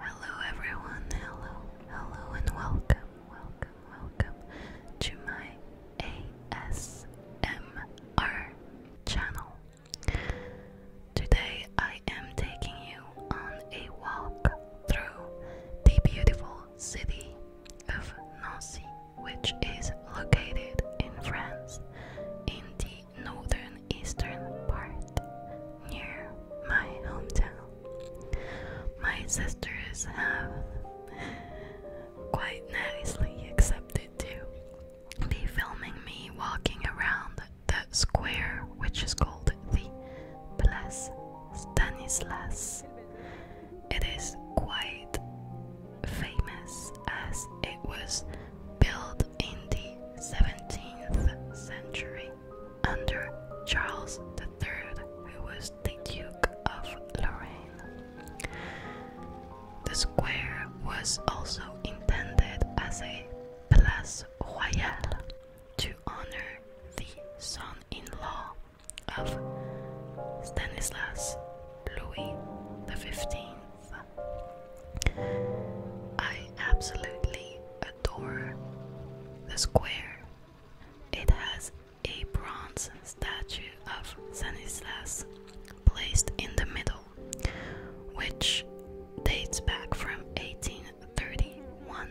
Hello everyone, hello, hello and welcome, welcome, welcome to my ASMR channel. Today I am taking you on a walk through the beautiful city of Nancy, which is located in France in the northern eastern part near my hometown. My sisters have quite nicely accepted to be filming me walking around the square, which is called the Place Stanislas. It is quite famous as it was built in the 17th century under Charles III, who was the Duke of Lorraine. The square was also intended as a place royale to honor the son in law of Stanislas Louis XV. I absolutely the square. It has a bronze statue of Stanislas placed in the middle, which dates back from 1831.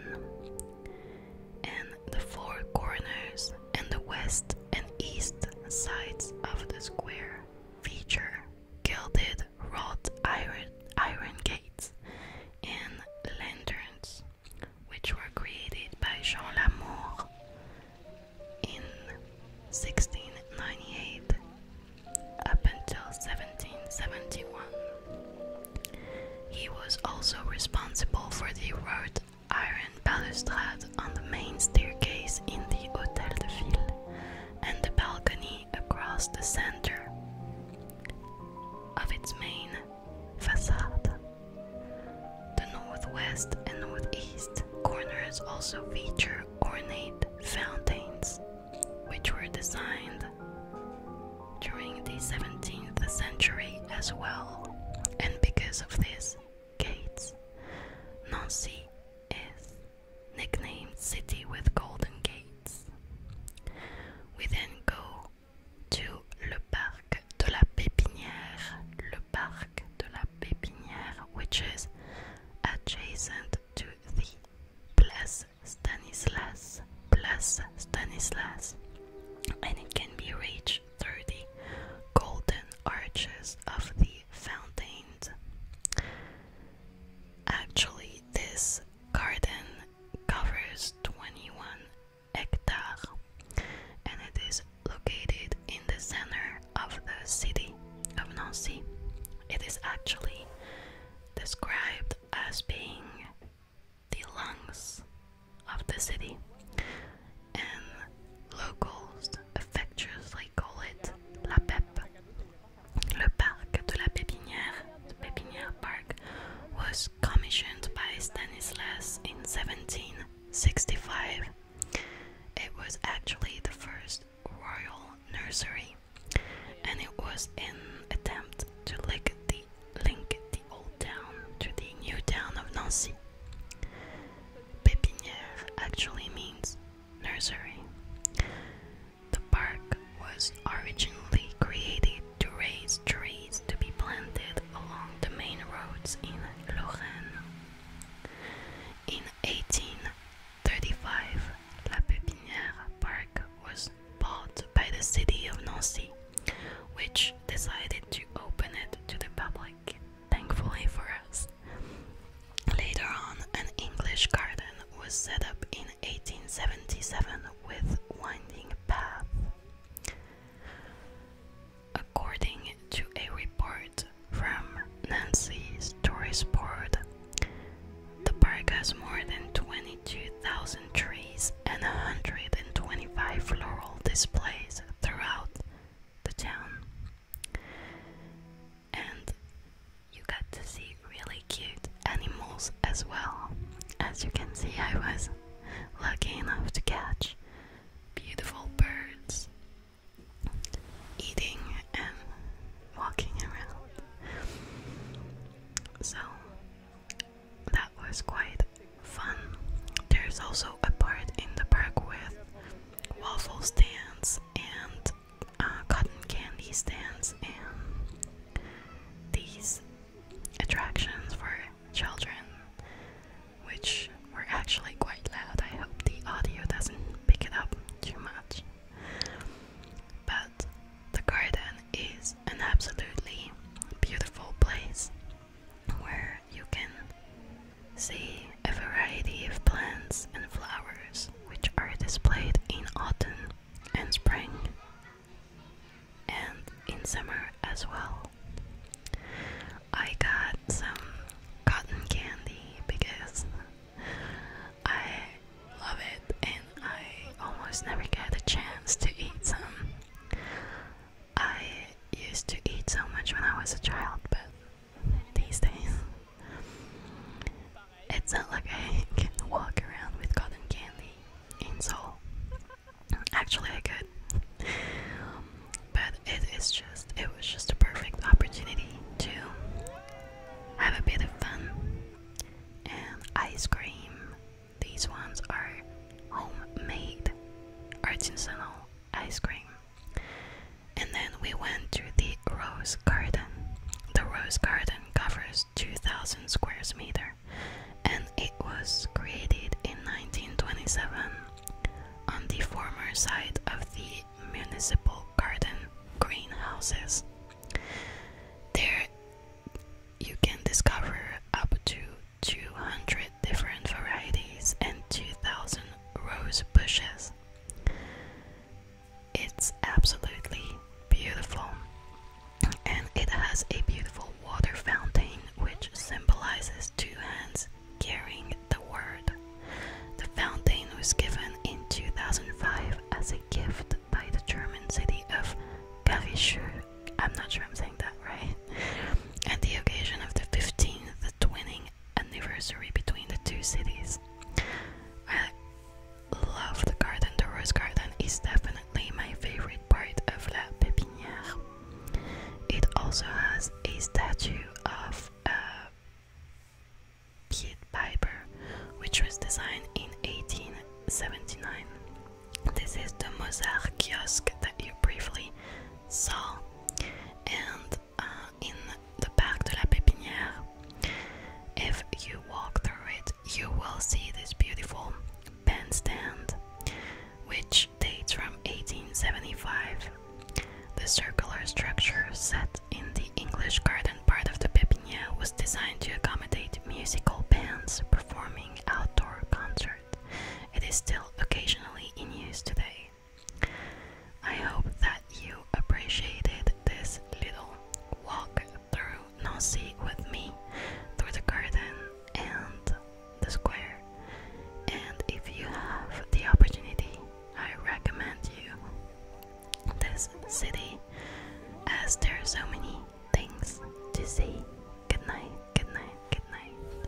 And the four corners and the west and east sides of the square feature gilded with iron gates and lanterns, which were created by Jean Lamour in 1698 up until 1771. He was also responsible for the wrought iron balustrade on the main staircase in the Hôtel de Ville and the balcony across the center of its main facade. The northwest and northeast corners also feature ornate fountains, which were designed during the 17th century as well, and because of this, Gates Nancy is nicknamed City with Golden Gates. We then go to Le Parc de la Pépinière, Le Parc de la Pépinière, which is adjacent to the Place Stanislas, Place Stanislas, and it can be reached through the golden arches of the fountains. Actually, this garden covers 21 hectares and it is located in the center of the city of Nancy. It is actually described as being the lungs of the city, and locals affectionately call it La Pepe. The Park de la Pépinière, Pépinière Park, was commissioned by Stanislas in 1765. It was actually the first royal nursery, and it was an attempt to link the old town to the new town of Nancy. Pépinière actually means nursery. The park was originally created to raise trees to be planted along the main roads in Lorraine. In 1835, La Pépinière Park was bought by the city of Nancy, which decided to open it to the public, thankfully for us. Later on, an English garden was set up in 1877 with winding path. According to a report from Nancy's Tourist Board, the park has more than 22,000 trees and 125 floral displays throughout the town and you got to see really cute animals as well. As you can see, I was lucky enough to catch beautiful birds eating and walking around. So that was quite fun. There's also a part in the park with waffle stands and uh, cotton candy stands and these attractions for children, which were actually quite loud. I hope the audio doesn't pick it up too much. But the garden is an absolutely beautiful place where you can see a variety of plants and flowers which are displayed in autumn and spring and in summer as well. I got some cotton candy because I love it and I almost never get a chance to eat some. I used to eat so much when I was a child, but these days. It's not like I can walk around with cotton candy in Seoul. Actually, I could, but it is just it was just a perfect opportunity to have a bit of fun and ice cream. These ones are homemade artisanal ice cream. And then we went to the Rose Garden. The Rose Garden covers 2,000 square meter, and it was created in 1927 on the former site of the municipal garden greenhouses. There you can discover up to 200 different varieties and 2,000 rose bushes. It's absolutely beautiful, and it has a beautiful water fountain which symbolizes two hands carrying the word. The fountain was given in 2005 as a gift by the German city of Karlsruhe. I'm not sure I'm saying that right. At the occasion of the 15th twinning anniversary between the two cities. I love the garden, the rose garden is definitely my favorite part of La Pépinière. It also has a statue of uh, Piet Piper, which was designed in 1879. This is the Mozart kiosk that you briefly saw, and uh, in the Parc de la Pépinière. If you walk through it, you will see this beautiful bandstand, which dates from 1875. The circular structure set in the English garden part of the Pépinière was designed to accommodate musical bands performing outdoor concerts. It is still occasionally in use today. I hope that you appreciated this little walk through Nancy with me through the garden and the square. And if you have the opportunity, I recommend you this city as there are so many things to see. Good night, good night, good night.